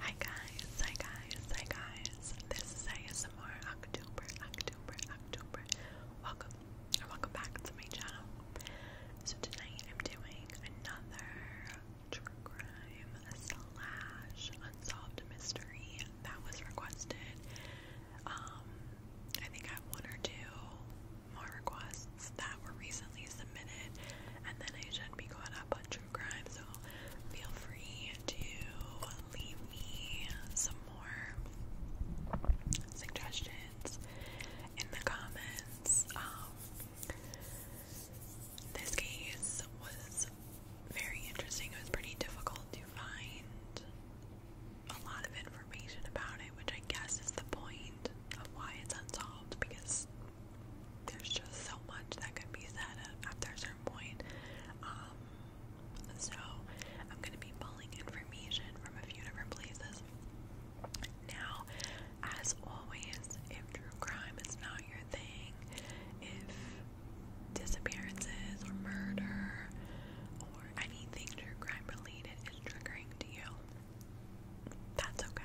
Hi guys, hi guys, hi guys. This is ASMR October, October, October. Welcome or welcome back to my channel. So tonight I'm doing another true crime slash unsolved mystery that was requested. Um, I think I have one or two more requests that were recently submitted, and then I should be going up on true crime, so feel free to leave me some more suggestions in the comments. Um, this case was very interesting. It was pretty difficult to find a lot of information about it, which I guess is the point of why it's unsolved because there's just so much that can be said at a certain point. Um, so I'm gonna be pulling information from a few different places. Now, as always, if true crime is not your thing, if disappearances or murder or anything true crime related is triggering to you, that's okay.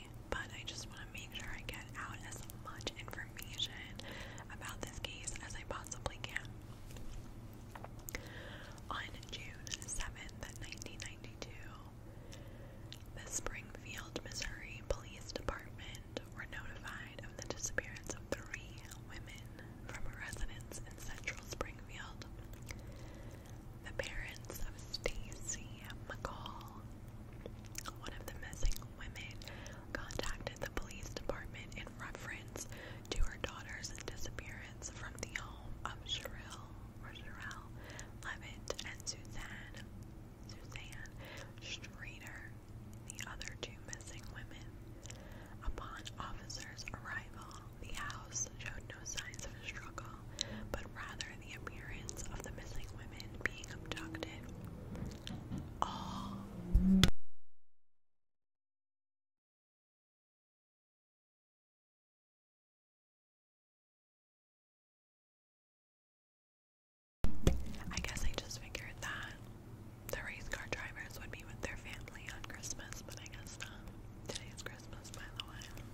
me, but I just want to make sure I get out as much information about this case as I possibly can. On June 7th, 1992, the Springfield, Missouri Police Department were notified of the disappearance of three women from a residence in central Springfield the parents of Stacy McCall, one of the missing women, contacted the police department in reference to her daughter's disappearance from the home of Sherrill or Levitt and Suzanne Suzanne Streeter, the other two missing women. Upon officers' arrival, the house showed no signs of struggle, but rather the appearance of the missing women being abducted. Oh. I guess I just figured that the race car drivers would be with their family on Christmas, but I guess not. Today is Christmas, by the way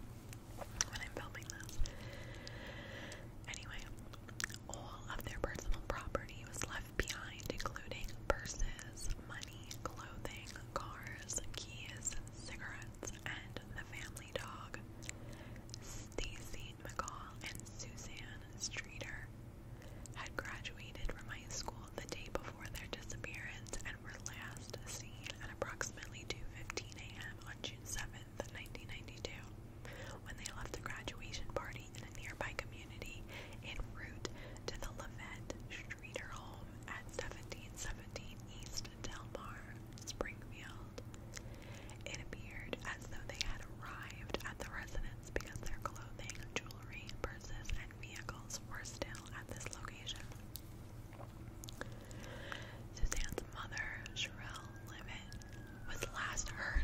when I'm filming this. Anyway, all of their personal property was left behind, including purses, money, clothing, cars, keys, cigarettes, and the family dog. Stacy McCall and Suzanne Streeter had graduated from high school the day before their disappearance and were last seen at approximately 2:15 a.m. on June 7, 11th, 1992, when they left a graduation party in a nearby community en route to the Levette Streeter home at 1717 East Delmar, Springfield. It appeared as though they had arrived at the residence because their clothing, jewelry, purses, and vehicles were still at this location. Suzanne's mother, Sherelle Limit, was last heard.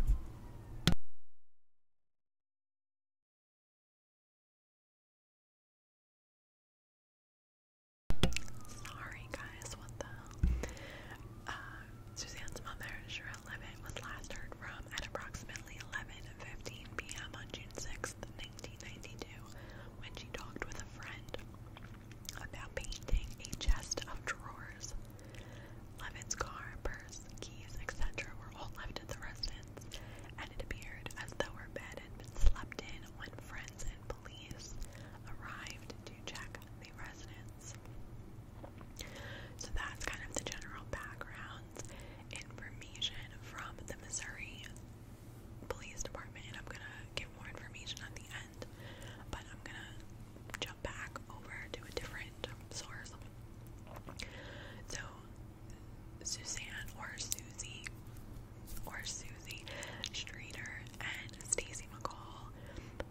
Sorry, guys, what the hell? Uh, Suzanne's mother, Sherelle Levitt, was last heard from at approximately 11:15 p.m. on June 6, 1992, when she talked with a friend about painting a chest of drawers. Levitt's car, purse, keys, etc. were all left at the residence, and it appeared as though her bed had been slept in when friends and police arrived to check the residence. So that's kind of the general background information from the Missouri police department and I'm gonna get more information at the end. But I'm gonna jump back over to a different source. So Suzanne or Susie or Susie Streeter and Stacy McCall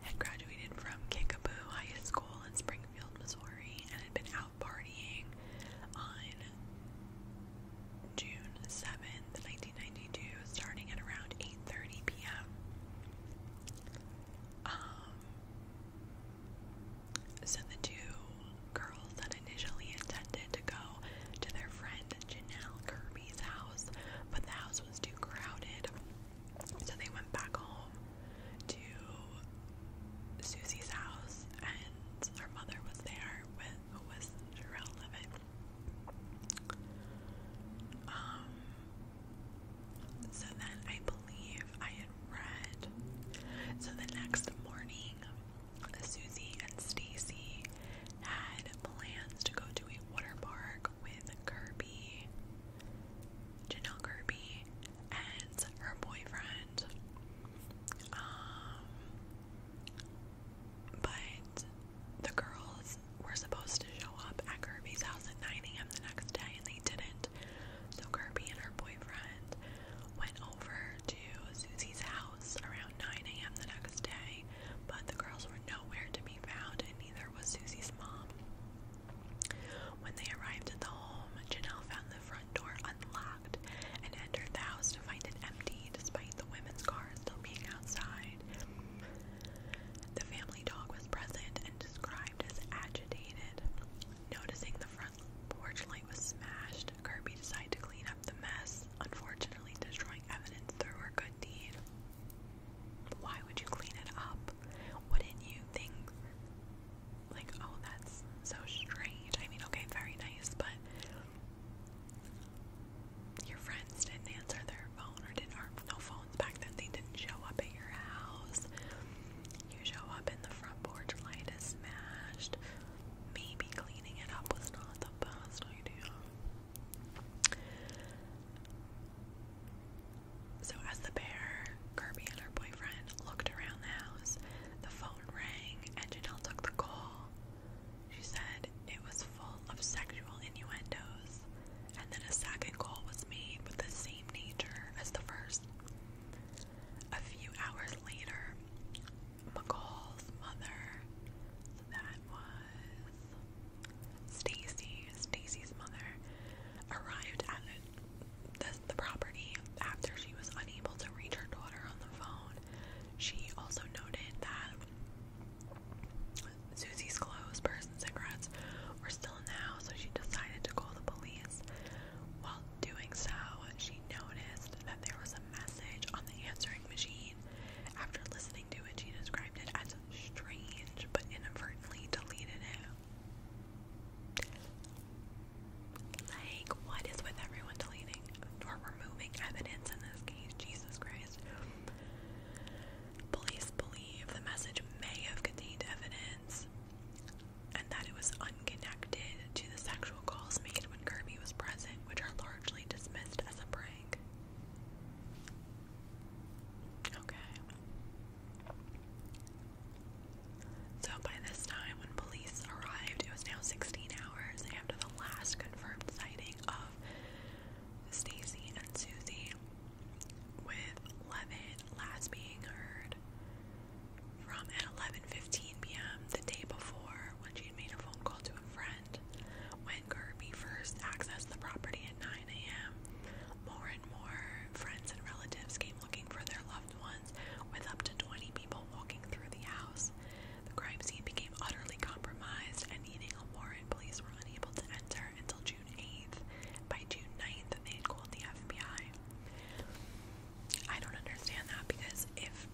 had graduated from Kickapoo High School in Springfield, Missouri, and had been out partying on June 7th, 1992, starting at around 8:30 p.m. Um, the two girls that initially intended to go to their friend Janelle Kirby's house, but the house was too crowded, so they went back home to Susie's house, and her mother was there with who was um, so then I believe I had read. So the next morning, Susie and Stacy had plans to go to a water park with Kirby, Janelle Kirby, and her boyfriend. Um, but the girls were supposed to show up at Kirby's house at 9 a.m. the next day and they didn't. So Kirby and her boyfriend went over to Susie's house around 9 a.m. the next day, but the girls were nowhere to be found and neither was Susie's mom. When they arrived at the home, Janelle found the front door unlocked and entered the house to find it empty despite the women's car still being outside. The family dog was present and described as agitated. Noticing the front porch light was smashed, Kirby decided to clean up the mess, unfortunately destroying evidence through her good deed. Why would you clean it up? Wouldn't you think like, oh that's so strange. I mean, okay, very nice, but your friends didn't answer their phone or didn't or no phones back then they didn't show up at your house. You show up in the front porch light is smashed. Maybe cleaning it up was not the best idea. So, as the bear Kirby and her boyfriend, looked around the house, the phone rang and Janelle took the call. She said it was full of sexual innuendos, and that a second call was made with the same nature as the first. A few hours later, McCall's mother, so that was Stacy, Stacy's mother, arrived at the, the, the property after she was unable to reach her daughter on the phone she also noted that Susie's clothes, purse, and cigarettes were still in the house, so she decided to call the police. While doing so, she noticed that there was a message on the answering machine. After listening to it, she described it as strange but inadvertently deleted it. Like, what is with everyone deleting using or removing evidence in this case. Jesus Christ. Police believe the message may have contained evidence and that it was unconnected to the sexual calls made when Kirby was present, which are largely dismissed as a prank. Okay. So by this time, when police arrived, it was now 16 hours after the last confirmed sighting of off Stacy and Susie, with Levin last being heard from at 11:15 p.m. the day before when she had made a phone call to a friend. When Kirby first accessed the property at 9 a.m., more and more friends and relatives came looking for their loved ones, with up to 20 people walking through the house. The crime scene became utterly compromised, and needing a warrant, police were unable to enter until June 8th. By June 9th, they called the FBI. I don't understand that because if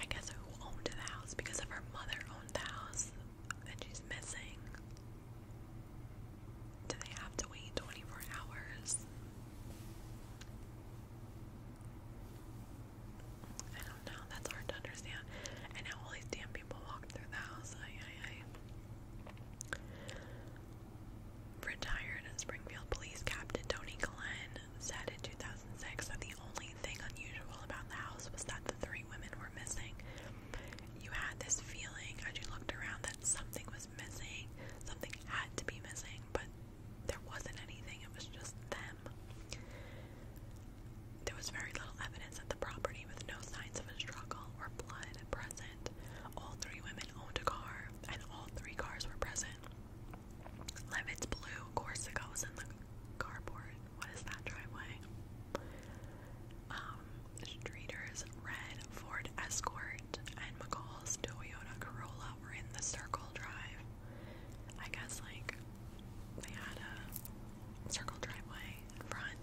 I guess who owned the house? Because if her mother owned the house and she's missing, do they have to wait 24 hours? I don't know. That's hard to understand. And how all these damn people walk through the house. Retired Springfield police captain Tony Glenn said in 2006 that the only thing unusual about the house was that the three women were missing. You had this feeling as you looked around that something was missing, something had to be missing, but there wasn't anything, it was just them. There was very little evidence at the property with no signs of a struggle or blood present. All three women owned a car, and all three cars were present. Levitt's blue Corsica was in the carport. What is that driveway? Um, Streeter's red Ford Escort and McCall's Toyota Corolla were in the circle drive. I guess like they had a circle driveway in front.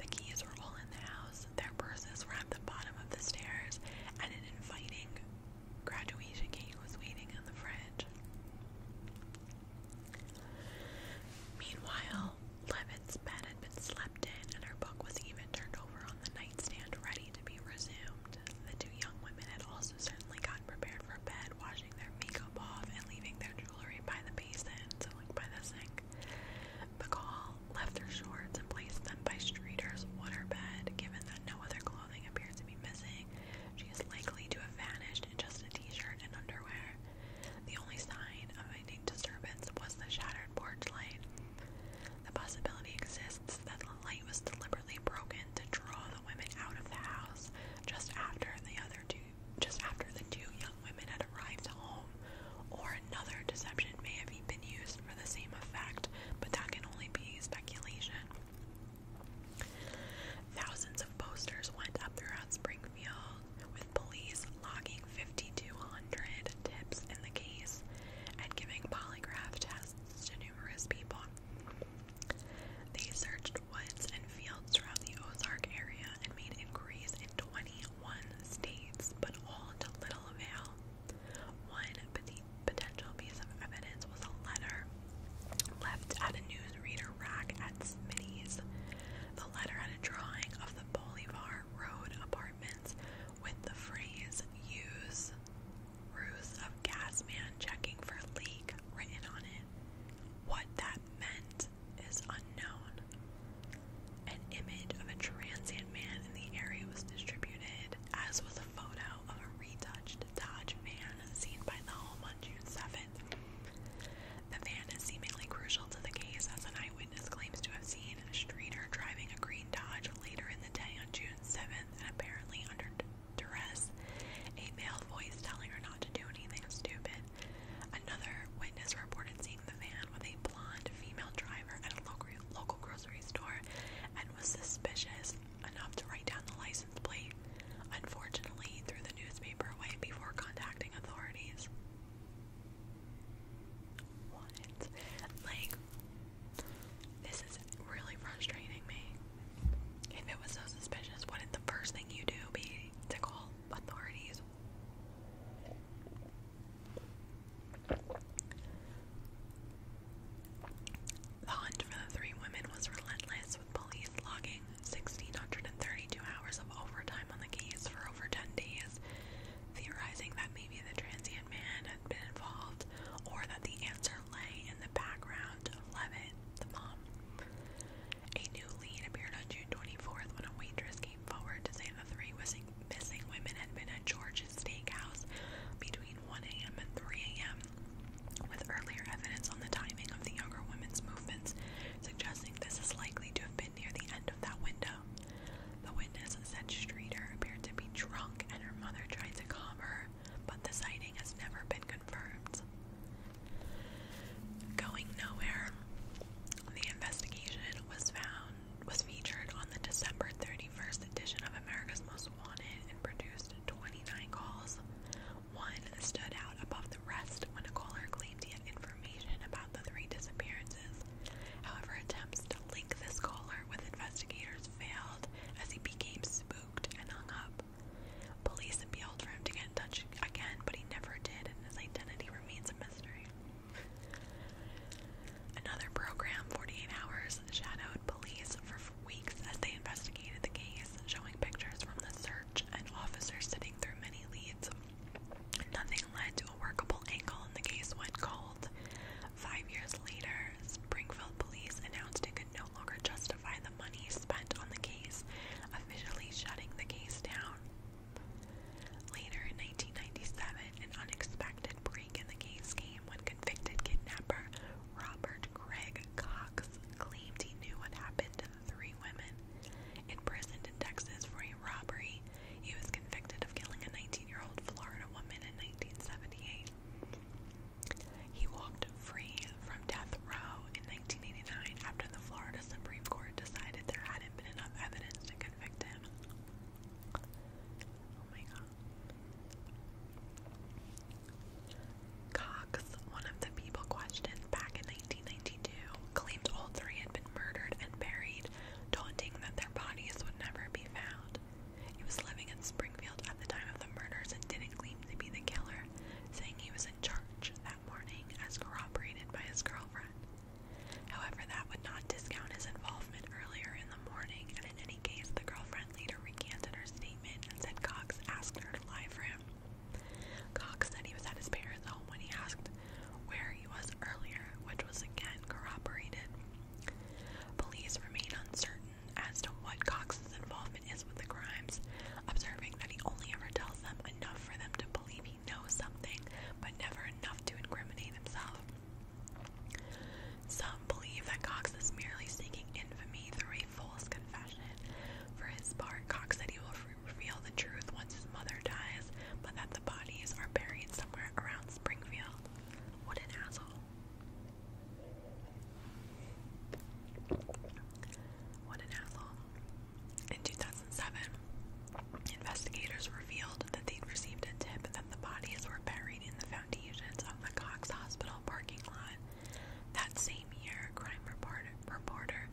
The keys were all in the house. Their purses were at the bottom of the stairs, and an inviting graduation cake was waiting in the fridge. Meanwhile, Levitt's bed had been slept in, and her book was even turned over on the nightstand, ready to be resumed. The two young women had also girls certainly got prepared for bed, washing their makeup off and leaving their jewelry by the basin, so like by the sink. McCall left her shorts and placed them by Streeter's waterbed. Given that no other clothing appears to be missing, she is likely to have vanished in just a t-shirt and underwear. The only sign of any disturbance was the shattered porch light. The possibility exists that the light was deliberately broken to draw the women out of the house just after the other two just after the two young women had arrived home, or another deception may have been used for the same effect, but that can only be speculation. Thousands of posters went up throughout Springfield, with police logging 5,200 tips in the case and giving polygraph tests to numerous people. They searched woods and fields throughout the Ozark area and made inquiries in 21 states, but all to little avail. One potential piece of evidence was a letter left at a newsreader rack at Smitty's. The letter had a drawing of the Bolivar Road apartments with the phrase use ruse of Gasman checking for leak written on it. What that meant is unknown. An image of a transient man in the area was distributed, as was a photo of a retouched Dodge van seen by the home on June 7th. The van is seemingly crucial to the case as an eyewitness claims to have seen a streeter driving a green Dodge later in the day on June 7th and apparently under under duress, a male voice telling her not to do anything stupid. Another witness reported seeing the van with a blonde female driver at a local, local grocery store and was suspicious enough to write down the license plate, unfortunately, threw the newspaper away before contacting authorities. What? Like, this is really frustrating me. If it was so suspicious, wouldn't the first thing you do be to call authorities? The hunt for the three women was relentless, with police logging 1,632 hours of overtime on the case for over 10 days, theorizing that maybe the transient man had been involved or that the answer lay in the background of Levitt, the mom. A new lead appeared on June 24th when a waitress came forward to say the three missing, women had been at George's steakhouse between 1 a.m. and 3 a.m., with earlier evidence on the timing of the younger women's movements suggesting this is likely to have been near the end of that window. The witness said Streeter appeared to be drunk and her mother tried to calm her but the sighting has never been confirmed. Going nowhere, the investigation was found was featured on the December 31st edition of America's Most Wanted and produced 29 calls. One stood out above the rest when a caller claimed he had information about the three disappearances. However, attempts to link this caller with investigators efforts failed as he became spooked and hung up. Police appealed for him to get in touch again, but he never did, and his identity remains a mystery. Another program, 48 Hours, shadowed police for weeks as they investigated the case, showing pictures from the search and officers sitting through many leads. Nothing led to a workable angle, and the case went cold. Five years later, Springfield police announced it could no longer justify the money spent on the case, officially shutting the case down. Later in 1997, an unexpected break in the case came when convicted kidnapper Robert Craig Cox claimed he knew what happened to the three women. Imprisoned in Texas for a robbery, he was convicted of killing a 19 year old Florida woman in 1978. He walked free from death row in 1989 after the Florida Supreme Court decided there hadn't been enough evidence to convict him. Oh Cox, one of the people questioned back in 1992, claimed all three had been murdered and buried, taunting that their bodies would never be found. He was living in Springfield at the time of the murders and didn't claim to be the killer, saying he was in charge that morning as corroborated by his girlfriend. However, that would not discount his involvement earlier in the morning, and in any case, the girlfriend later recanted her statement and said Cox asked her to lie for him. Cox said he was at his parents' home when he asked where he was earlier, which was again corroborated. Police remain uncertain as to what Cox's involvement is with the crimes, observing that he only ever tells them enough for them to believe he knows something, but never enough to incriminate himself. Some believe that Cox is merely seeking infamy through a false confession. For his part, Cox said he will reveal the truth once his mother dies, but that the bodies are buried somewhere around Springfield. What an asshole. In 2007, investigators revealed that they'd received a tip that the bodies were buried in the foundations of the Cox Hospital parking lot. That same year, crime reporter, reporter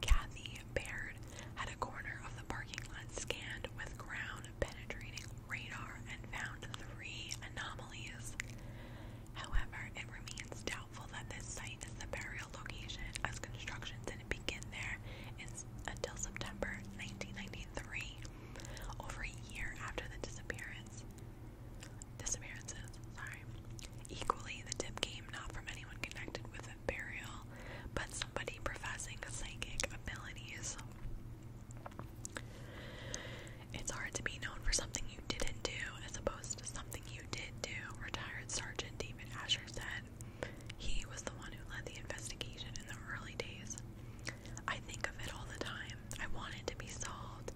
Kathy Baird had a corner of the parking lot scanned with ground penetrating radar and found three anomalies. However, it remains doubtful that this site is the burial location, as construction didn't begin there until September 1993, over a year after the disappearance. Disappearances, sorry. Equally, the tip came not from anyone connected with the burial, but somebody professing psychic abilities. It's hard to be known for something you didn't do as opposed to something you did do, retired Sergeant David Asher said. He was the one who led the investigation in the early days. I think of it all the time. I want it to be solved.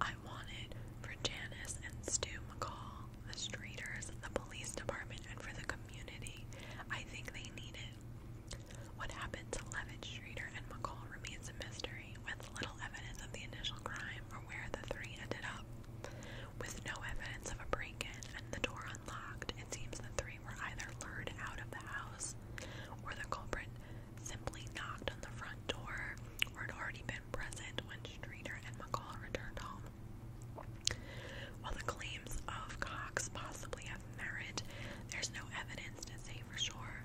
I want it for Janice and Stu McCall, the streeters, the police department, and for the community. I think they need it. What happened to Levitt, Schrader, and McCall remains a mystery, with little evidence of the initial crime or where the three ended up. With no evidence of a break-in and the door unlocked, it seems the three were either lured out of the house or the culprit simply knocked on the front door or had already been present when Streeter and McCall returned home. While the claims of Cox possibly have merit, there's no evidence to say for sure.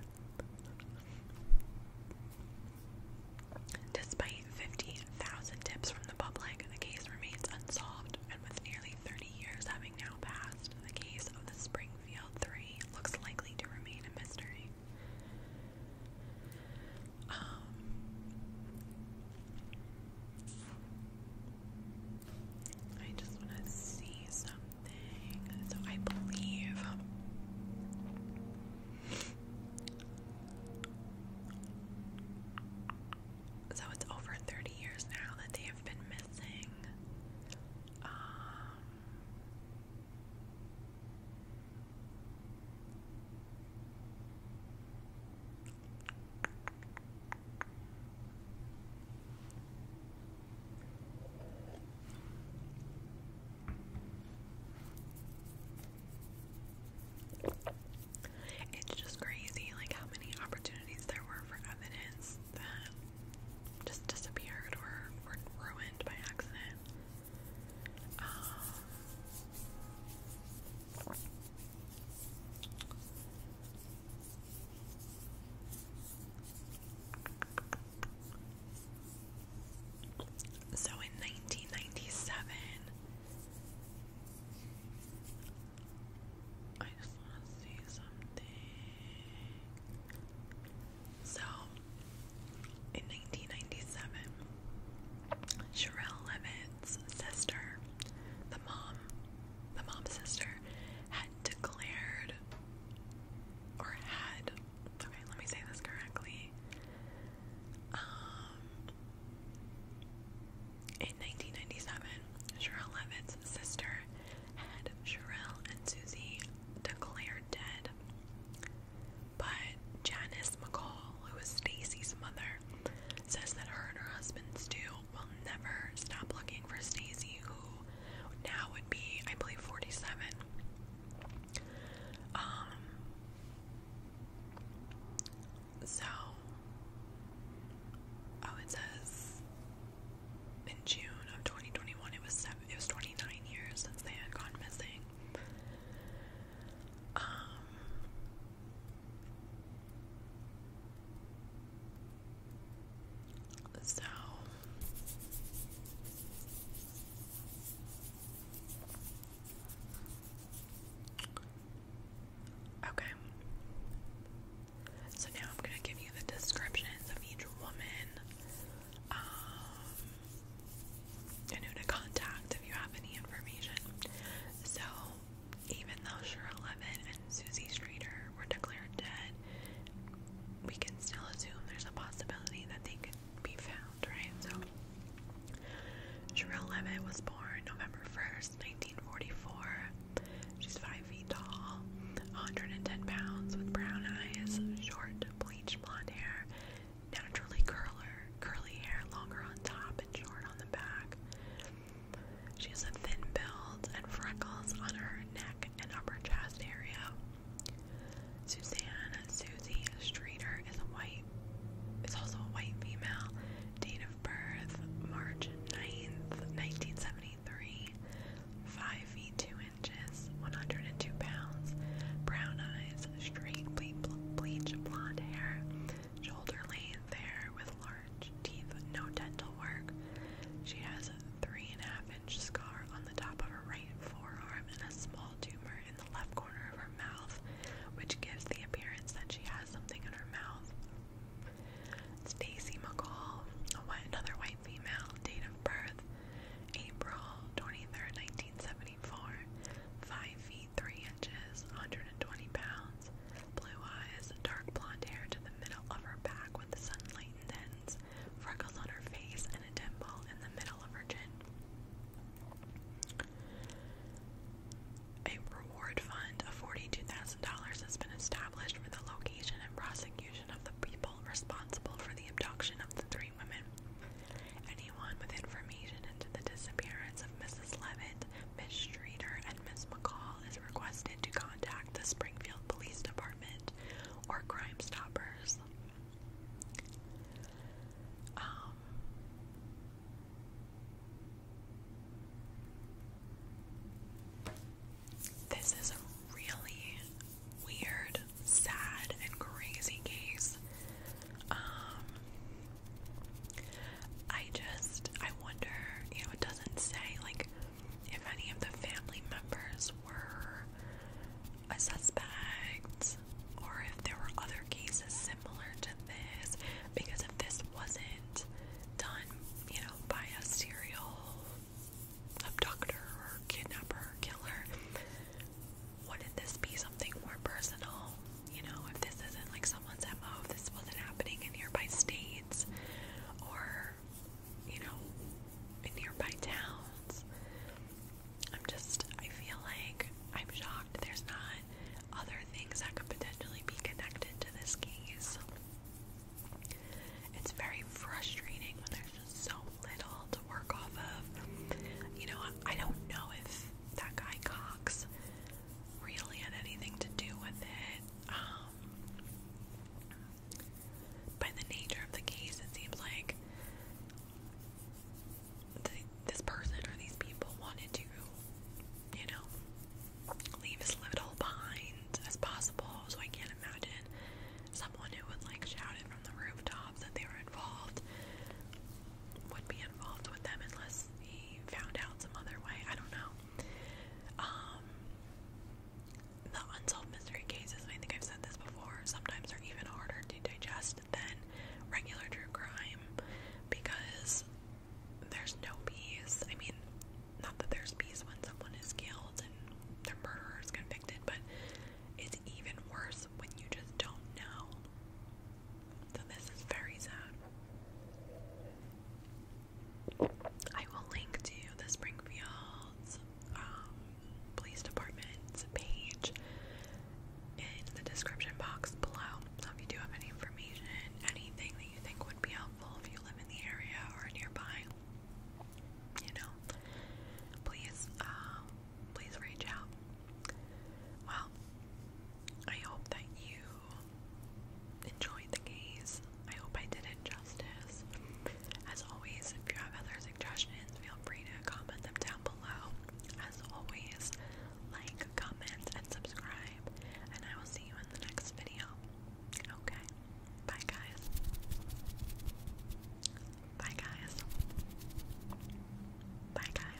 Despite 50,000 tips from the public, the case remains unsolved, and with nearly 30 years having now passed, the case of the Springfield Three looks likely to remain a mystery. Um, I just want to see something. So I believe. So it's over 30 years now that they have been missing. Um, it's just crazy, like how many opportunities there were for evidence that just disappeared or were ruined by accident. Um, so in 1997, I just want to see something. So in 1997, Sherelle Levitt's sister, the mom, the mom's sister, had declared or had okay, let me say this correctly. Um in 1997, Sherelle Levitt's sister had Sherelle and Susie declared dead. But Janice McCall, who is Stacy's mother, says that her and her husband Stu will never stop looking for Stacy, who now would be, I believe, 47. Um, so, oh, it says in June of 2021, it was seven, it was 29 years since they had gone missing. Um, so Okay. So now I'm going to give you the descriptions of each woman um and who to contact if you have any information. So even though Cheryl Levin and Susie Streeter were declared dead, we can still assume there's a possibility that they could be found, right? So, Cheryl Levin was born November 1st, 1944. She's 5 feet tall, 110 pounds, with brown eyes, short, bleached blonde hair, naturally curler, curly hair, longer on top and short on the back. She has a thin build and freckles on her neck and upper chest area. Suzanne Susie Streeter is a white It's also a white female. Date of birth March 9th, 1973. 5 feet 2 inches, 102 pounds. Brown eyes, straight ble bleach blonde hair, shoulder length hair with large teeth, no dental work. She has a three and a half inch scar on the top of her right forearm and a small tumor in the left corner of her mouth, which gives the appearance that she has something in her mouth. Stacy McCall, a white, another white female, date of birth, April 23rd, 1974, 5 feet 3 inches, 120 pounds blue eyes, dark blonde hair to the middle of her back with sunlight ends, freckles on her face, and a dimple in the middle of her chin. A reward fund of $42,000 has been established for the location and prosecution of the people responsible for the abduction of the three women. Anyone with information into the disappearance of Mrs. Levitt, Miss Streeter, and Miss McCall is requested to contact contact the Springfield Police Department or Crime Stoppers. Um, this is a really weird, sad, and crazy case. Um, I just, I wonder, you know, it doesn't say like if any of the family members were a suspect or if there were other cases similar to this because if this wasn't done, you know, by a serial abductor or kidnapper or killer, wouldn't this be something more personal? You know, if this isn't like some someone's MO if this wasn't happening in nearby states or, you know, in nearby towns. I'm just, I feel like I'm shocked there's not other things that could potentially be connected to this case. It's very frustrating when there's just so little to work off of. You know, I don't know if that guy Cox really had anything to do with it. Um, by the nature of the case, it seems like this person or these people wanted to, you know, leave as little behind as possible. So I can't imagine someone who would like shout it from the rooftops that they were involved would be involved with them unless he found out some other way. I don't know. Um, the unsolved mystery cases, I think I've said this before, sometimes are even harder to digest than regular true crime because there's no peace. I mean, not that there's peace when someone is killed and their murderer is convicted, but it's even worse when you just don't know. So, this is very sad. I will link to the Springfield's um, police department's page in the description box below. if you do have any information, anything that you think would be helpful if you live in the area or nearby, you know, please, um, please reach out. Well, I hope that you enjoyed the case. I hope I did it justice. As always, if you have other suggestions, feel free to comment them down below. As always, like, comment, and subscribe. And I will see you in the next video. Okay? Bye, guys. Bye, guys. Bye, guys.